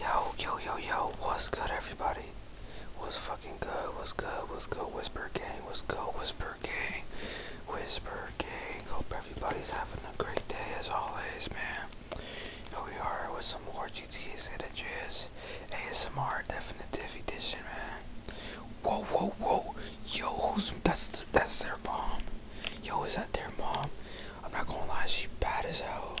Yo, yo, yo, yo, what's good everybody? What's fucking good? What's good? What's good? Whisper gang, what's good? Whisper gang, whisper gang. Hope everybody's having a great day as always, man. Here we are with some more GTA San Andreas ASMR Definitive Edition, man. Whoa, whoa, whoa. Yo, who's, that's, that's their mom. Yo, is that their mom? I'm not gonna lie, she bad as hell.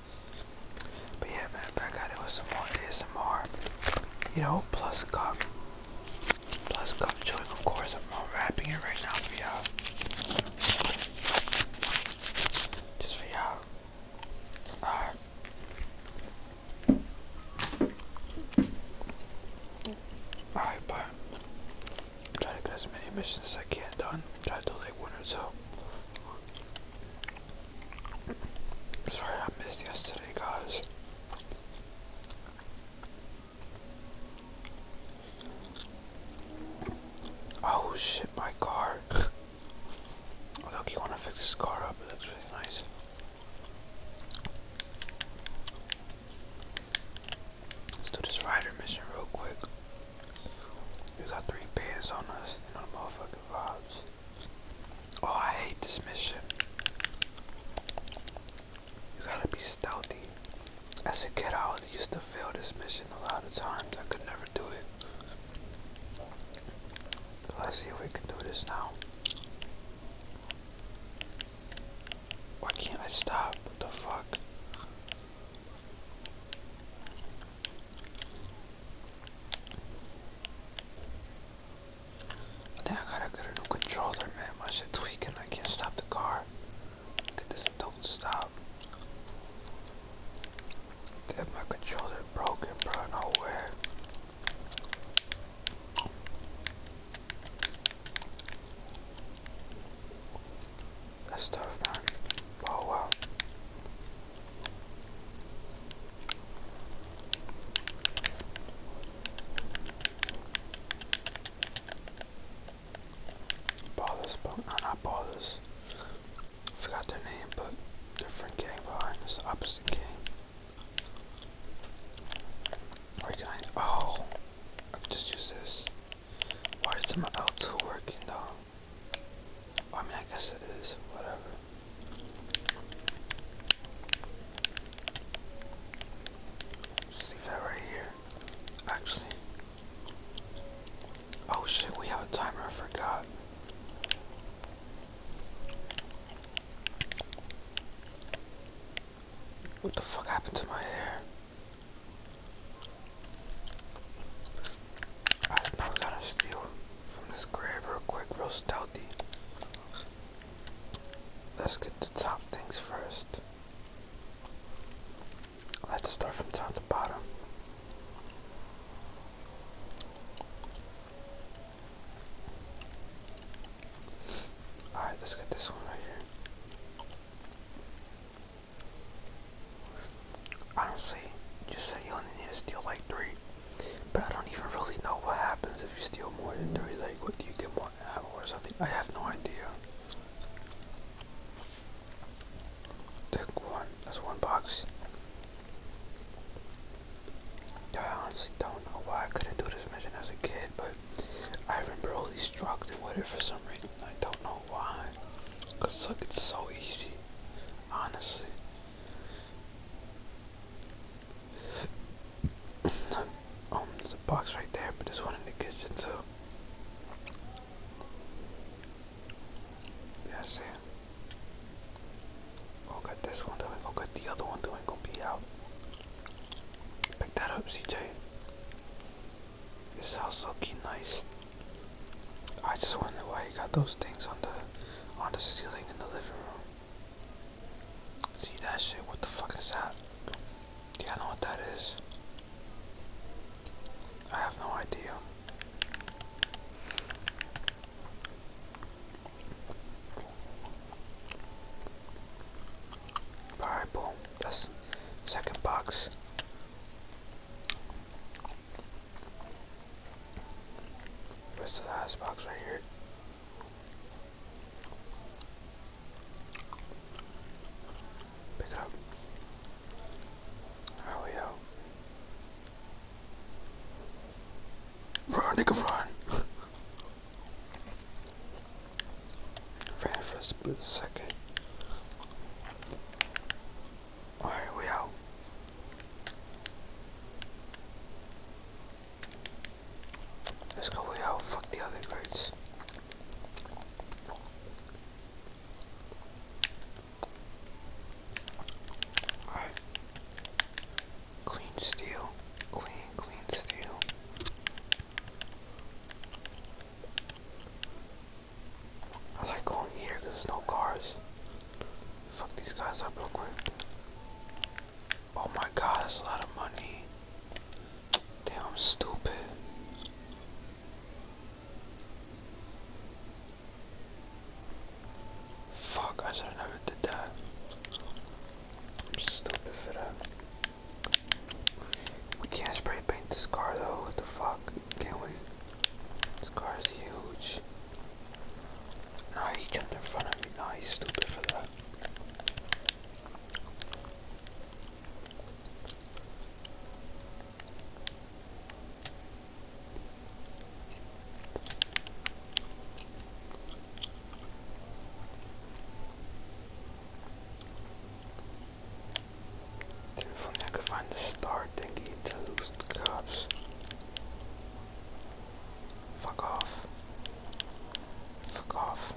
But yeah, man, back at it with some more ASMR. You know, plus a cup. Plus a cup chewing, of course. I'm unwrapping it right now for y'all. Just for y'all. Alright. Alright, but to get as many missions as I can done. I Try to like or so sorry I missed yesterday, guys. Oh shit, my car. Look, you want to fix this car up? It looks really nice. Let's do this rider mission real quick. We got three pants on us. You know the motherfucking vibes. Oh, I hate this mission. You gotta be stealthy. As a kid, I always used to fail this mission a lot of times. I could never do it. let's see if we can do this now. Why can't I stop? What the fuck? I I gotta get a new controller, man. My shit tweaking. I can't stop the car. Look at this. Don't stop. Damn, my controller broken, bro. Nowhere. That's tough, man. Oh wow. Ballers, no, not Ballers. forgot their name, but different gang behind this opposite game. Where can Oh, just use this. Why is my L2 working though? I mean, I guess it is, whatever. Just that right here. Actually. Oh shit, we have a timer, I forgot. What the fuck happened to my hair? Alright, now we gotta steal from this grave real quick, real stealthy. Let's get the top things first. I like start from top to bottom. Alright, let's get this one right here. I Honestly, just say you only need to steal like three. But I don't even really know what happens if you steal more than three. Like, what do you get more or something? I have no idea. Take one. That's one box. I honestly don't know why I couldn't do this mission as a kid, but I remember all these drugs and whatever for some reason. I don't know why. Cause look, it's so easy. Honestly. um, there's a box right there, but there's one in the kitchen too. Yeah, I see. Oh, get this one, then oh, we go get the other one, then we going be out. Pick that up, CJ. It sounds so nice. I just wonder why you got those things on the on the ceiling in the living room. See that shit? What the fuck is that? Yeah, I know what that is. I have no idea. Alright, boom. That's second box. Where's the last box right here? Pick it up. How we out? Run, nigga, run! Five split second. Alright, we out. Let's go way out, fuck the other birds. Clean steel. Clean, clean steel. I like going here there's no cars. Fuck these guys up real quick. Oh my god, that's a lot of money. Damn, I'm stupid. Fuck, I should have never did that. I'm stupid for that. We can't spray paint this car though, what the fuck, can we? This car is huge. Nah, he jumped in front of me, nah, he's stupid for that. If I could find the star thingy to lose the cops. Fuck off. Fuck off.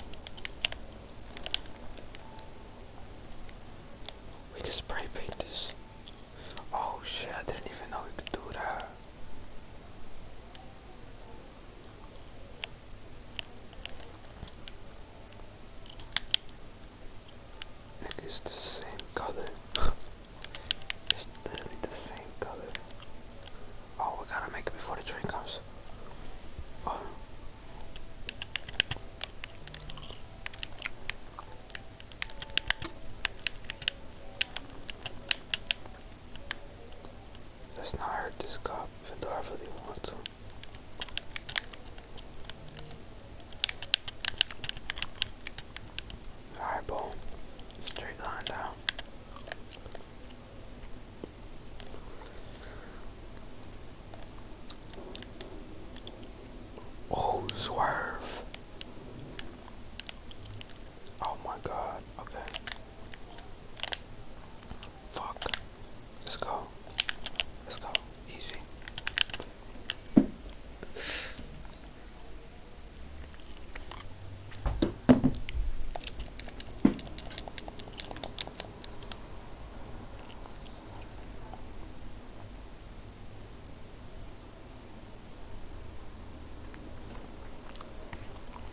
We can spray paint this. Oh shit, I didn't even know we could do that. It is the same color. it's literally the same color. Oh, we gotta make it before the train comes. Oh. Let's not hurt this cop, even though I really want to. Alright, boom. Straight line down. Oh, swerve. Oh my god, okay. Fuck. Let's go. Let's go. Easy.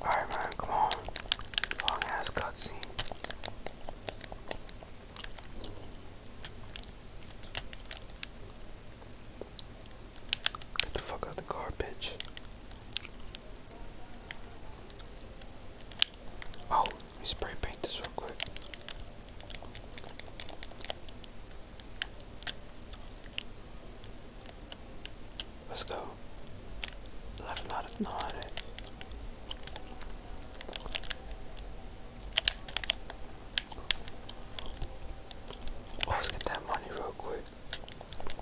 Alright, man, come on. Long ass cutscene. Get the fuck out the car, bitch. Oh, let me spray paint this real quick. Let's go. 11 out of 9. Let's get that money real quick.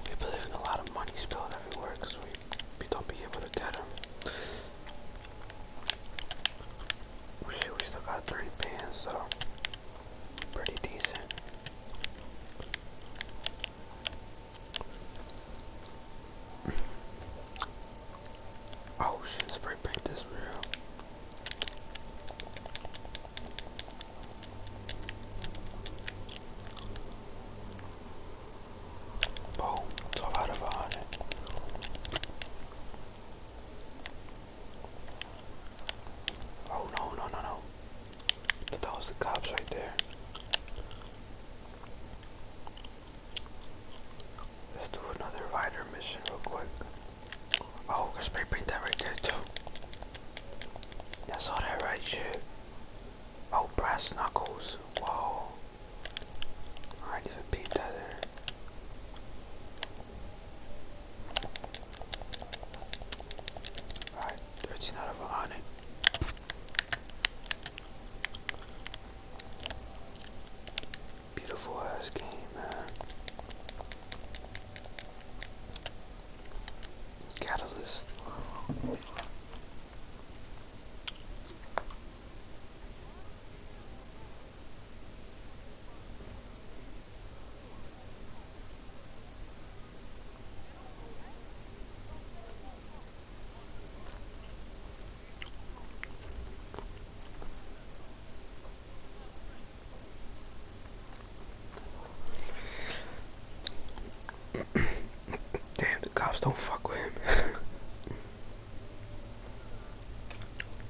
We've been a lot of money spilled everywhere because we, we don't be able to get them. We, we still got 30 pins, so pretty decent. oh shit, spray paint this real. Boom, 12 out of 100. Oh no, no, no, no. But that was the cops right there. Let's do another rider mission real quick. Oh, I spray paint that right there too. That's all that right shit. Oh, brass knuckles. Whoa. I didn't beat that there. Alright, 13 out of 100. Beautiful ass game, man. Catalyst. Damn, the cops don't fuck with him.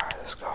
All right, let's go.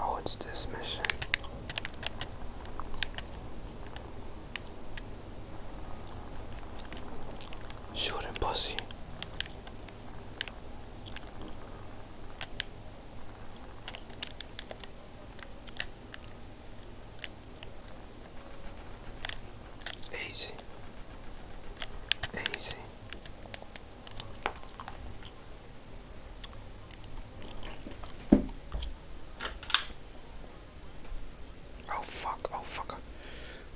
Oh, it's this mission. Shoot him, pussy. Easy. Easy. Oh fuck, oh fuck.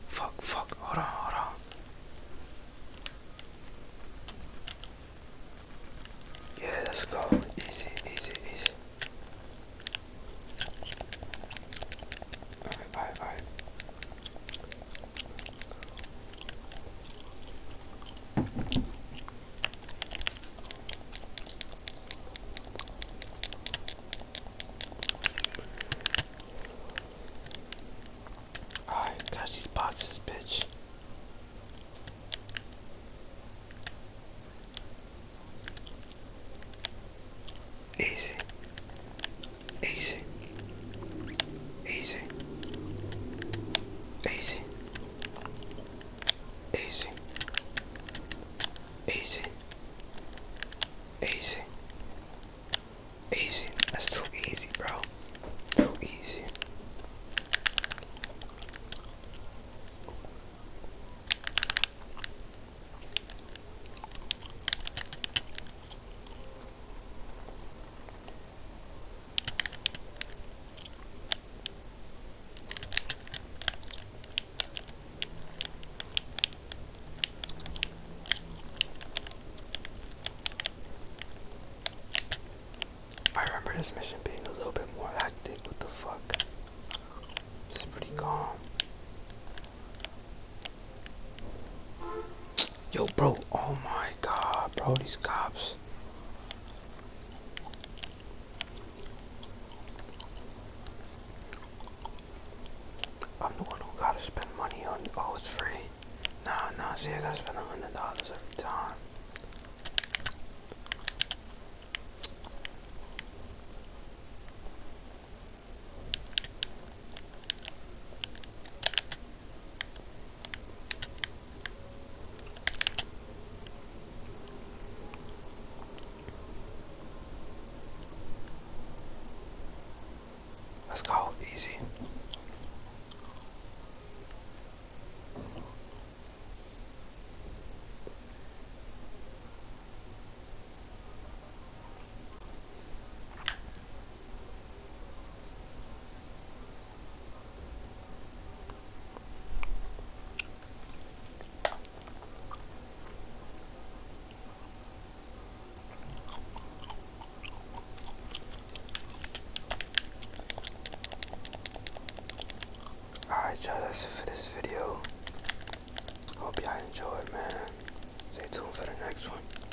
Fuck, fuck, hold on, hold on. Yeah, let's go. Easy, easy, easy. Alright, alright, alright. Alright, got these boxes, bitch. Easy. Easy. Easy. Easy. Easy. Easy. Easy. Easy. That's too easy, bro. Too easy. I remember this mission being a little bit more hectic. What the fuck? It's pretty calm. Yo, bro. Oh my god, bro. These cops. I'm the one who gotta spend money on. Oh, it's free. Nah, nah. See, I gotta spend a hundred dollars every time. Let's go, easy. Alright, y'all, that's it for this video. Hope y'all enjoyed, man. Stay tuned for the next one.